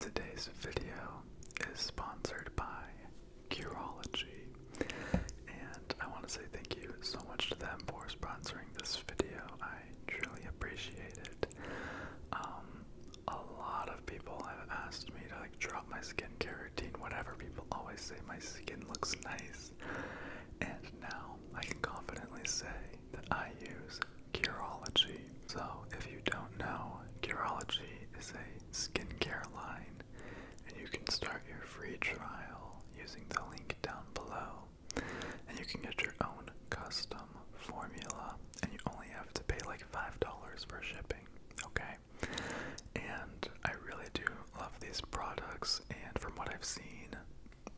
Today's video is sponsored by Curology, and I want to say thank you so much to them for sponsoring this video. I truly appreciate it. Um, a lot of people have asked me to like drop my skincare routine, whatever. People always say my skin looks nice, and now I can confidently say that I use is So, if you don't know, Curology is a skincare line, and you can start your free trial using the link down below. And you can get your own custom formula, and you only have to pay like $5 for shipping, okay? And I really do love these products, and from what I've seen,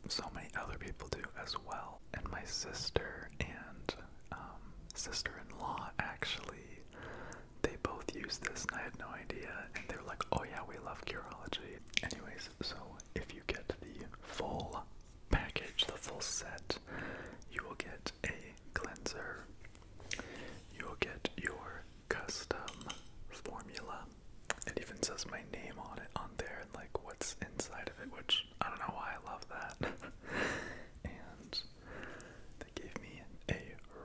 so many other people do as well. And my sister and um, sister-in-law actually they both use this and I had no idea and they are like oh yeah we love Curology anyways so if you get the full package the full set you will get a cleanser you will get your custom formula it even says my name on it on there and like what's inside of it which I don't know why I love that. and they gave me a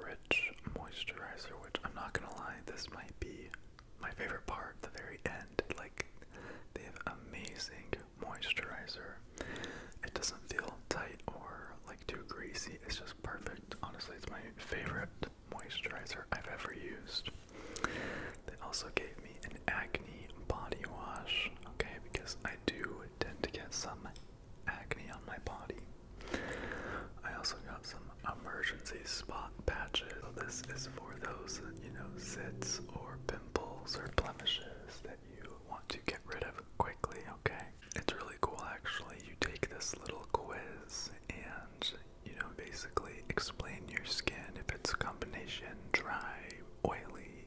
rich moisturizer, which I'm not gonna lie, this might be my favorite part, the very end. Like, they have amazing moisturizer. It doesn't feel tight or like too greasy, it's just perfect. Honestly, it's my favorite moisturizer I've ever used. They also gave me an acne body wash, okay, because I do tend to get some acne on my body. I also got some emergency spot patches. this is for those, you know, zits or pimples or blemishes that you want to get rid of quickly, okay? It's really cool actually. You take this little quiz and you know, basically explain your skin if it's combination dry, oily,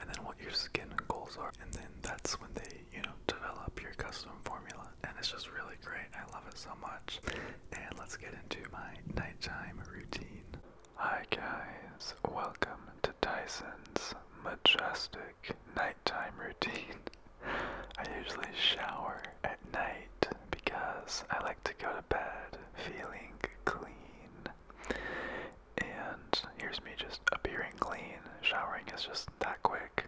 and then what your skin goals are, and then that's when they, you know, develop your custom formula. And it's just really great. I love it so much. And let's get into my nighttime routine. Hi guys, welcome to Tyson's majestic nighttime routine. I usually shower at night because I like to go to bed feeling clean. And here's me just appearing clean. Showering is just that quick.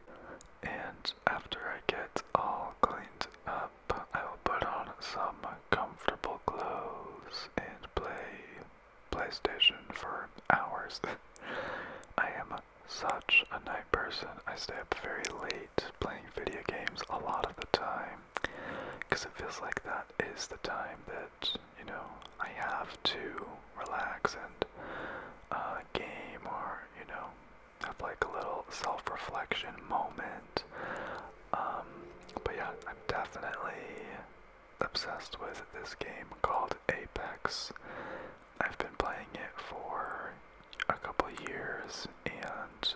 And after I get all cleaned up, I will put on some comfortable clothes and play PlayStation for hours. I am such a night person. I stay up very late playing video games a lot of the time because it feels like that is the time that you know, I have to relax and uh, game or, you know, have like a little self reflection moment. Um, but yeah, I'm definitely obsessed with this game called Apex. I've been playing it for a couple years and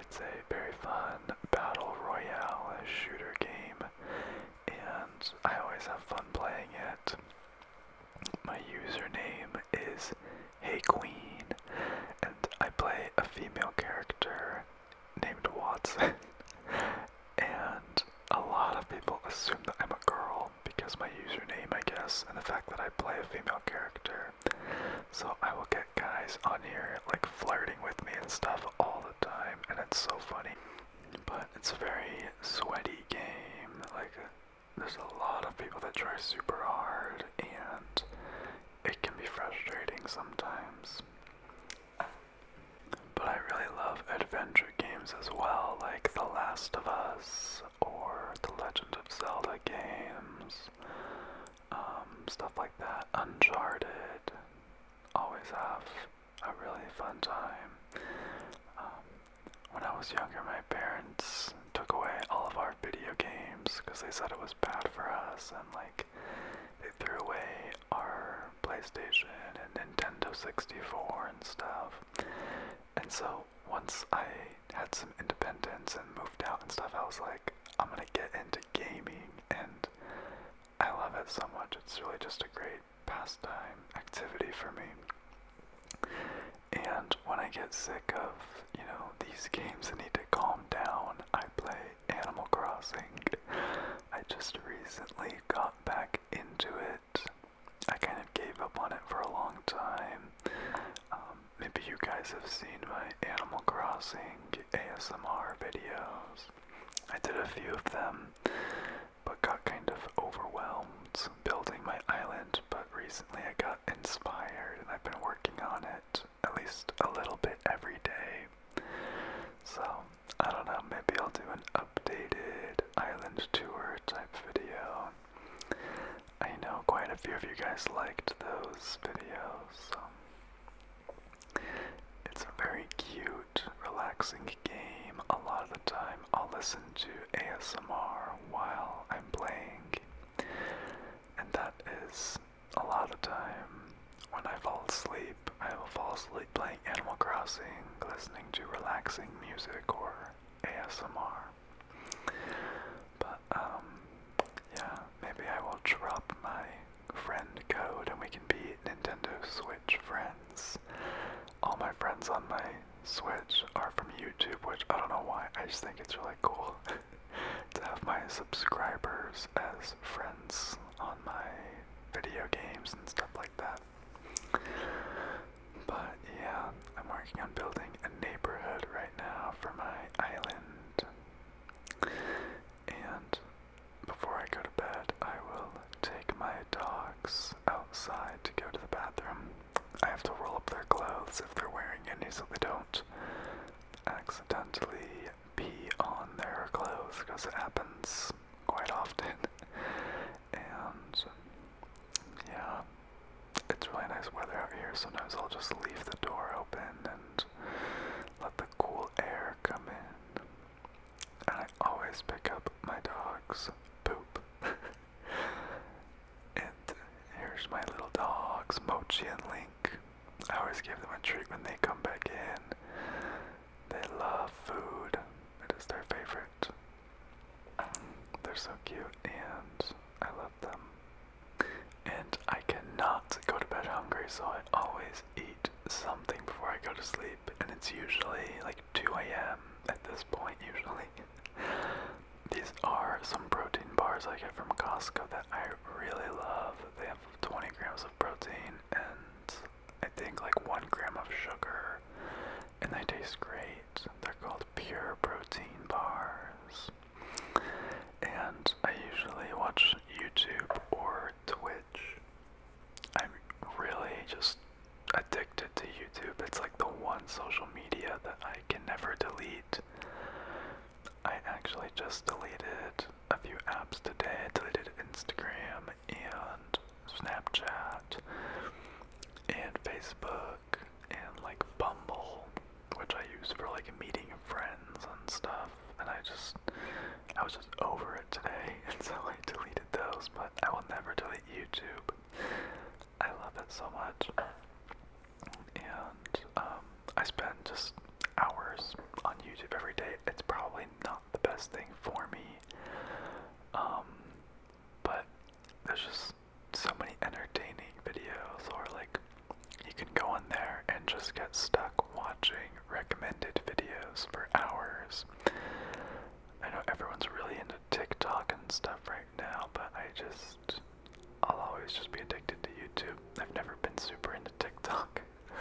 it's a very fun battle royale shooter game and I always have fun playing it. My username is Hey Queen, and I play a female character named Watson. and a lot of people assume that I'm a girl because my username, I guess, and the fact that I play a female character. So I will get guys on here like flirting with me and stuff all the time, and it's so funny. But it's a very sweaty game. Like there's a lot of people that try super hard, and it can be frustrating sometimes. But I really love adventure games as well, like The Last of Us or The Legend of Zelda games, um, stuff like that, Uncharted, always have a really fun time. Um, when I was younger, my parents took away all of our video games because they said it was bad for us, and like they threw away our PlayStation and Nintendo 64 and stuff. And so once I had some independence and moved out and stuff, I was like, I'm gonna get into gaming and I love it so much. It's really just a great pastime activity for me. And when I get sick of, you know, these games that need to calm down, I play Animal Crossing. I just recently got back into it. I kind of gave up on it for a long time. Um, maybe you guys have seen my Animal Crossing ASMR videos. I did a few of them, but got kind of overwhelmed building my island. But recently I got inspired and I've been working on it at least a little bit every day. So I don't know, maybe I'll do an updated island tour type video. I know quite a few of you guys liked those videos, it's a very cute, relaxing game. A lot of the time, I'll listen to ASMR while I'm playing, and that is a lot of time when I fall asleep. I will fall asleep playing Animal Crossing, listening to relaxing music or ASMR. But, um, yeah, maybe I will drop my friend code and we can be Nintendo Switch friends. All my friends on my Switch are from YouTube, which I don't know why, I just think it's really cool to have my subscribers as friends on my video games and stuff like that. But yeah, I'm working on building a neighborhood right now for my island. And before I go to bed, I will take my dogs outside to go to the bathroom. I have to roll up their clothes if they're wearing any so they don't accidentally be on their clothes because it happens quite often. and yeah, it's really nice weather out here. Sometimes I'll just leave the door open and let the cool air come in. And I always pick up my dog's poop. and here's my little dogs, Mochi and Link. I always give them a treat when they come back in. They love food, it is their favorite. They're so cute, and I love them. And I cannot go to bed hungry, so I always eat something before I go to sleep, and it's usually like 2 a.m. at this point, usually. These are some protein bars I get from Costco that I really love. They have 20 grams of protein and I think like 1 gram of sugar, and they taste great. They're called pure protein bars. And I usually watch YouTube or or Twitch. I'm really just addicted to YouTube. It's like the one social media that I can never delete. I actually just deleted a few apps today. I deleted Instagram and Snapchat and Facebook and like Bumble, which I use for like meeting friends and stuff and I just I was just over it today, and so I deleted those. But I will never delete YouTube. I love it so much, and um, I spend just hours on YouTube every day. It's probably not the best thing for me, um, but there's just so many entertaining videos, or like you can go on there and just get stuck watching watching recommended videos for hours. I know everyone's really into TikTok and stuff right now, but I just. I'll always just be addicted to YouTube. I've never been super into TikTok.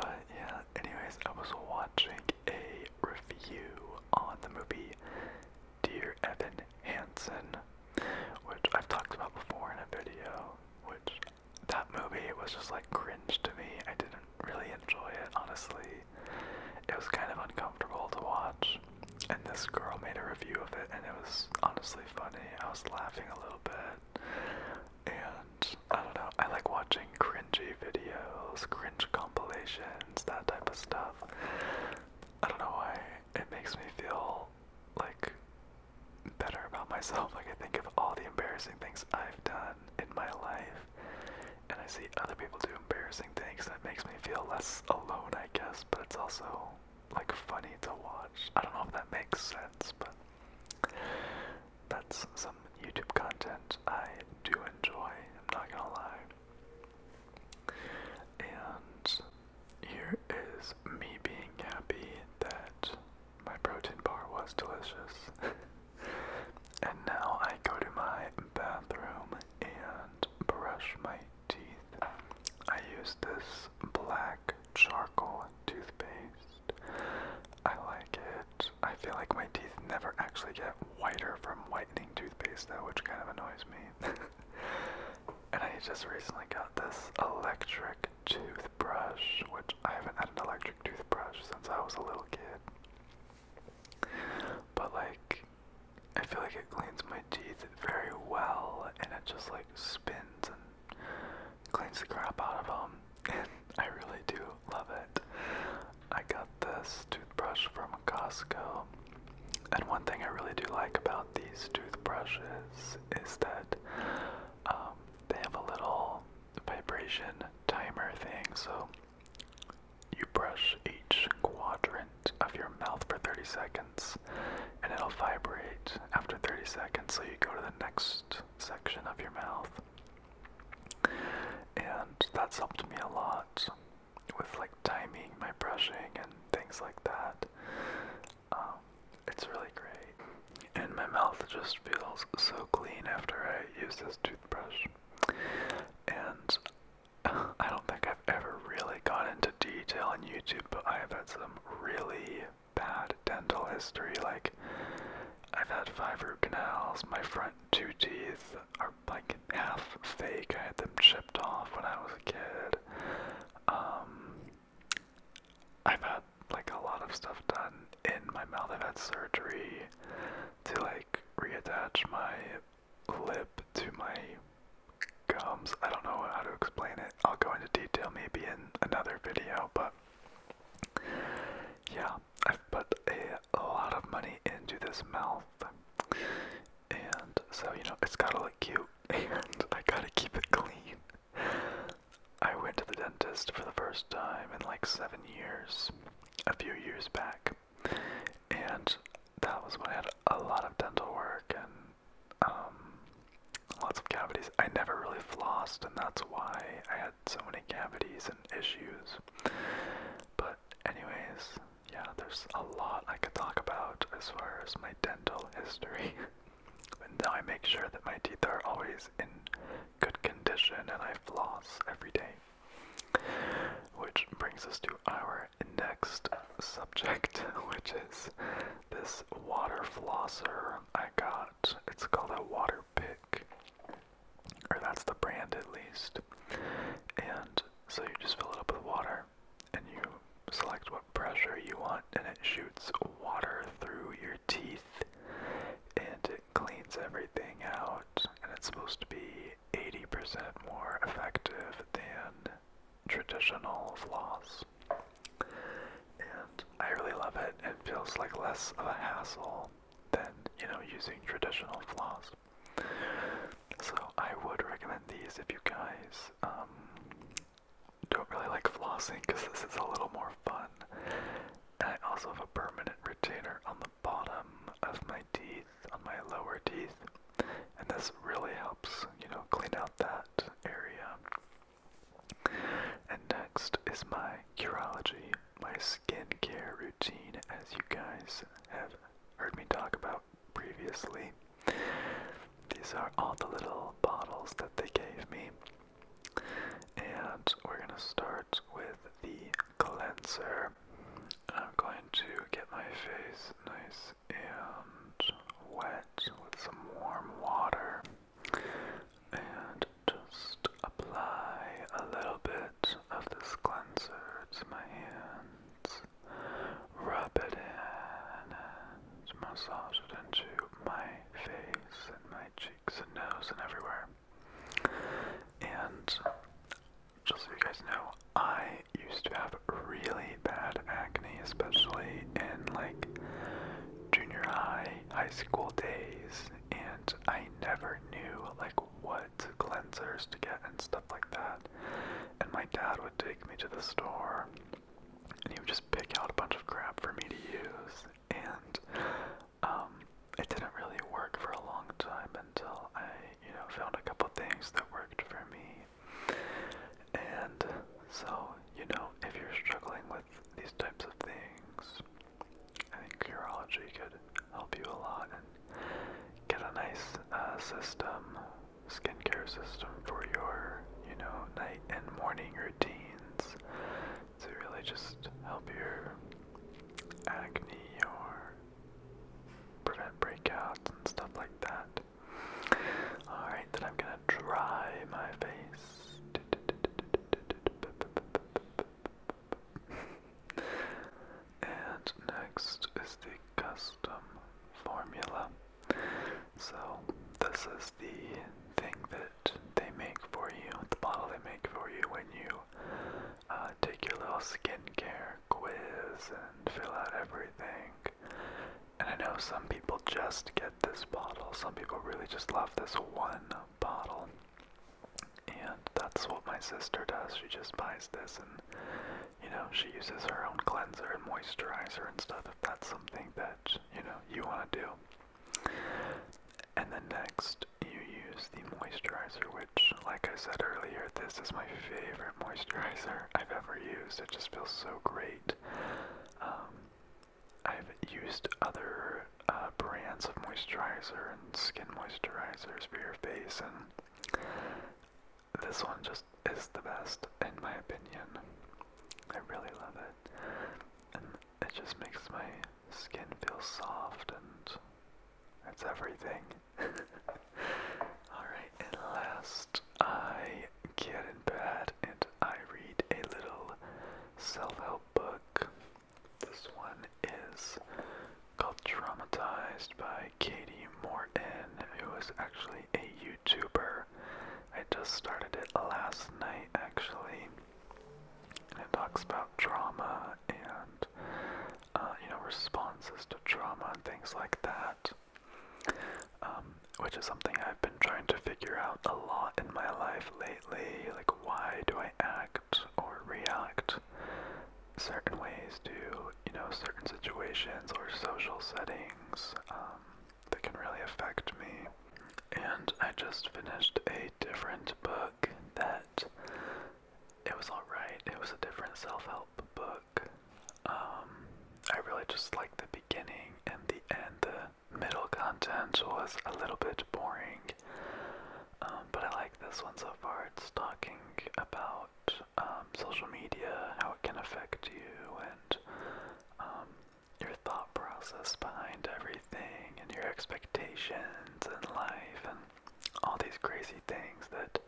But yeah, anyways, I was watching a review on the movie Dear Evan Hansen, which I've talked about before in a video, which that movie was just like cringe to me. I didn't really enjoy it, honestly. It was kind of uncomfortable to watch. And this girl made a review of it, and it was honestly funny. I was laughing a little bit. And I don't know, I like watching cringy videos, cringe compilations, that type of stuff. I don't know why. It makes me feel like better about myself. Like, I think of all the embarrassing things I've done in my life, and I see other people do embarrassing things, That makes me feel less alone, I guess, but it's also, like, funny to watch. I don't know if that makes sense, but that's some YouTube content I do enjoy, I'm not gonna lie. And here is me being happy that my protein bar was delicious. and now I go to my bathroom and brush my teeth. I use this black charcoal toothpaste. I like it. I feel like my teeth never actually get whiter from whitening toothpaste though, which kind of annoys me. and I just recently got this electric toothbrush, which I haven't had an electric toothbrush since I was a little kid. But like, I feel like it cleans my teeth very well, and it just like spins and cleans the crap out of them. And I really do love it. I got this toothbrush from Costco. And one thing I really do like about these toothbrushes is that um, they have a little vibration timer thing, so you brush each quadrant of your mouth for 30 seconds and it'll vibrate after 30 seconds, so you go to the next section of your mouth. And that's helped me a lot with like timing my brushing and things like that. Um, it's really great. And my mouth just feels so clean after I use this toothbrush. And I don't think I've ever really gone into detail on YouTube, but I have had some really bad dental history. Like, I've had five root canals, my front two teeth are like half fake. I had them chipped off when I was a kid. Um, I've had like a lot of stuff done in my mouth. I've had surgery to like reattach my lip to my gums. I don't know how to explain it. I'll go into detail maybe in another video, but yeah, I've put a, a lot of money into this mouth. And so, you know, it's gotta look cute and I gotta keep it clean. I went to the dentist for the first time in like seven years, a few years back, and that was when I had a lot of dental work and um, lots of cavities. I never really flossed, and that's why I had so many cavities and issues. But, anyways, yeah, there's a lot I could talk about as far as my dental history. And I make sure that my teeth are always in good condition and I floss every day. Which brings us to our next subject, which is this water flosser I got. It's called a water pick, or that's the brand at least. And so you just fill it up with water and you select what pressure you want, and it shoots water through your teeth and it cleans everything out. And it's supposed to be 80% more effective than traditional floss. And I really love it. It feels like less of a hassle than, you know, using traditional floss. So I would recommend these if you guys um, don't really like flossing because this is a little more fun. And I also have a permanent retainer on the bottom of my teeth, on my lower teeth. And this really helps, you know, clean out that area. And next is my Curology, my skincare routine, as you guys have heard me talk about previously. These are all the little bottles that they gave me. And we're going to start with the cleanser. I'm going to get my face nice and wet with some warm water and just apply a little bit of this cleanser to my hands. Rub it in and massage it into my face and my cheeks and nose and everywhere. And just so you guys know, I used to have really bad acne, especially in like junior high, high school days, and I never knew like what cleansers to get and stuff like that. And my dad would take me to the store and he would just pick out a bunch of crap for me to use, and um, it didn't really work for a long time until I, you know, found a couple things that worked for me. And so, you know, if you're struggling with these types of things, I think Curology could help you a lot and get a nice uh, system, skincare system for your, you know, night and morning routines to really just help your acne or prevent breakouts and stuff like that. Alright, then I'm gonna dry my face. and next is the custom formula. So this is the thing that they make for you, the bottle they make for you when you uh, take your little skincare quiz and fill out everything. And I know some people just get this bottle. Some people really just love this one bottle. And that's what my sister does. She just buys this and, you know, she uses her own cleanser and moisturizer and stuff if that's something that, you know, you want to do. And then next, you use the moisturizer, which, like I said earlier, this is my favorite moisturizer I've ever used. It just feels so great. Um, I've used other uh, brands of moisturizer and skin moisturizers for your face, and this one just is the best, in my opinion. I really love it it just makes my skin feel soft and it's everything. Alright, and last, I get in bed and I read a little self help book. This one is called Traumatized by Katie Morton, who is actually a YouTuber I just started it last night actually. And it talks about trauma and uh, you know responses to trauma and things like that, um, which is something I've been trying to figure out a lot in my life lately. Like, why do I act or react certain ways to you know certain situations or social settings? Um, that can really affect me. And I just finished a different book that it was alright. It was a different self help book. Um, I really just liked the beginning and the end. The middle content was a little bit boring. Um, but I like this one so far. It's talking about um, social media, how it can affect you, and um, your thought process behind everything and your expectations and life and all these crazy things that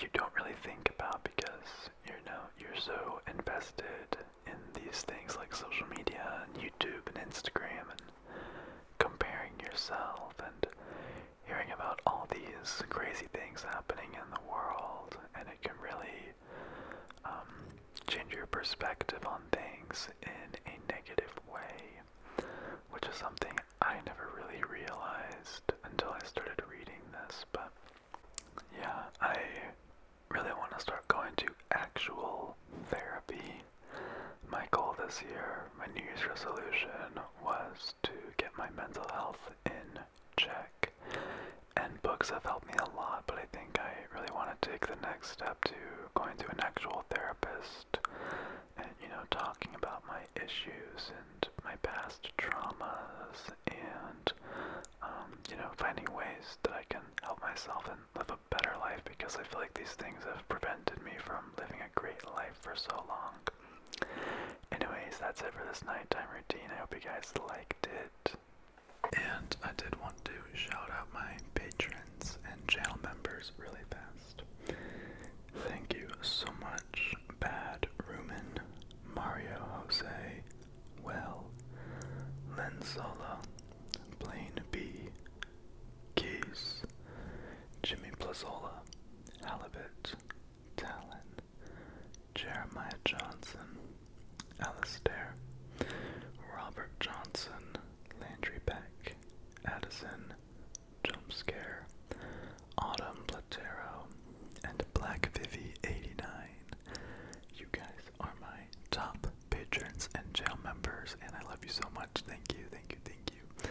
you don't really think about because you know you're so invested in these things like social media and YouTube and Instagram and comparing yourself and hearing about all these crazy things happening in the world and it can really um, change your perspective on things in a negative way, which is something I never really realized until I started reading this. But yeah, I really want to start going to actual therapy. My goal this year, my New Year's resolution, was to get my mental health in check. And books have helped me a lot, but I think I really want to take the next step to going to an actual therapist and, you know, talking about my issues and my past traumas and, um, you know, finding ways that I can help myself and live a better life because I feel like these things have prevented me from living a great life for so long. Anyways, that's it for this nighttime routine. I hope you guys liked it. And I did want to shout out my patrons and channel members really fast. Thank you so much, Bad Rumen, Mario Jose, Well, Lenzola, Solo, Blaine B, Keys, Jimmy Plazola, Halibut, Talon, Jeremiah Johnson, Alastair, Robert Johnson, Landry Beck, Addison, jump scare, Autumn Platero, and Black Vivi 89. You guys are my top patrons and jail members, and I love you so much. Thank you, thank you, thank you.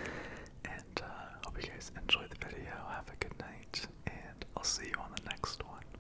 And uh, hope you guys enjoyed the video. Have a good night, and I'll see you on the next one.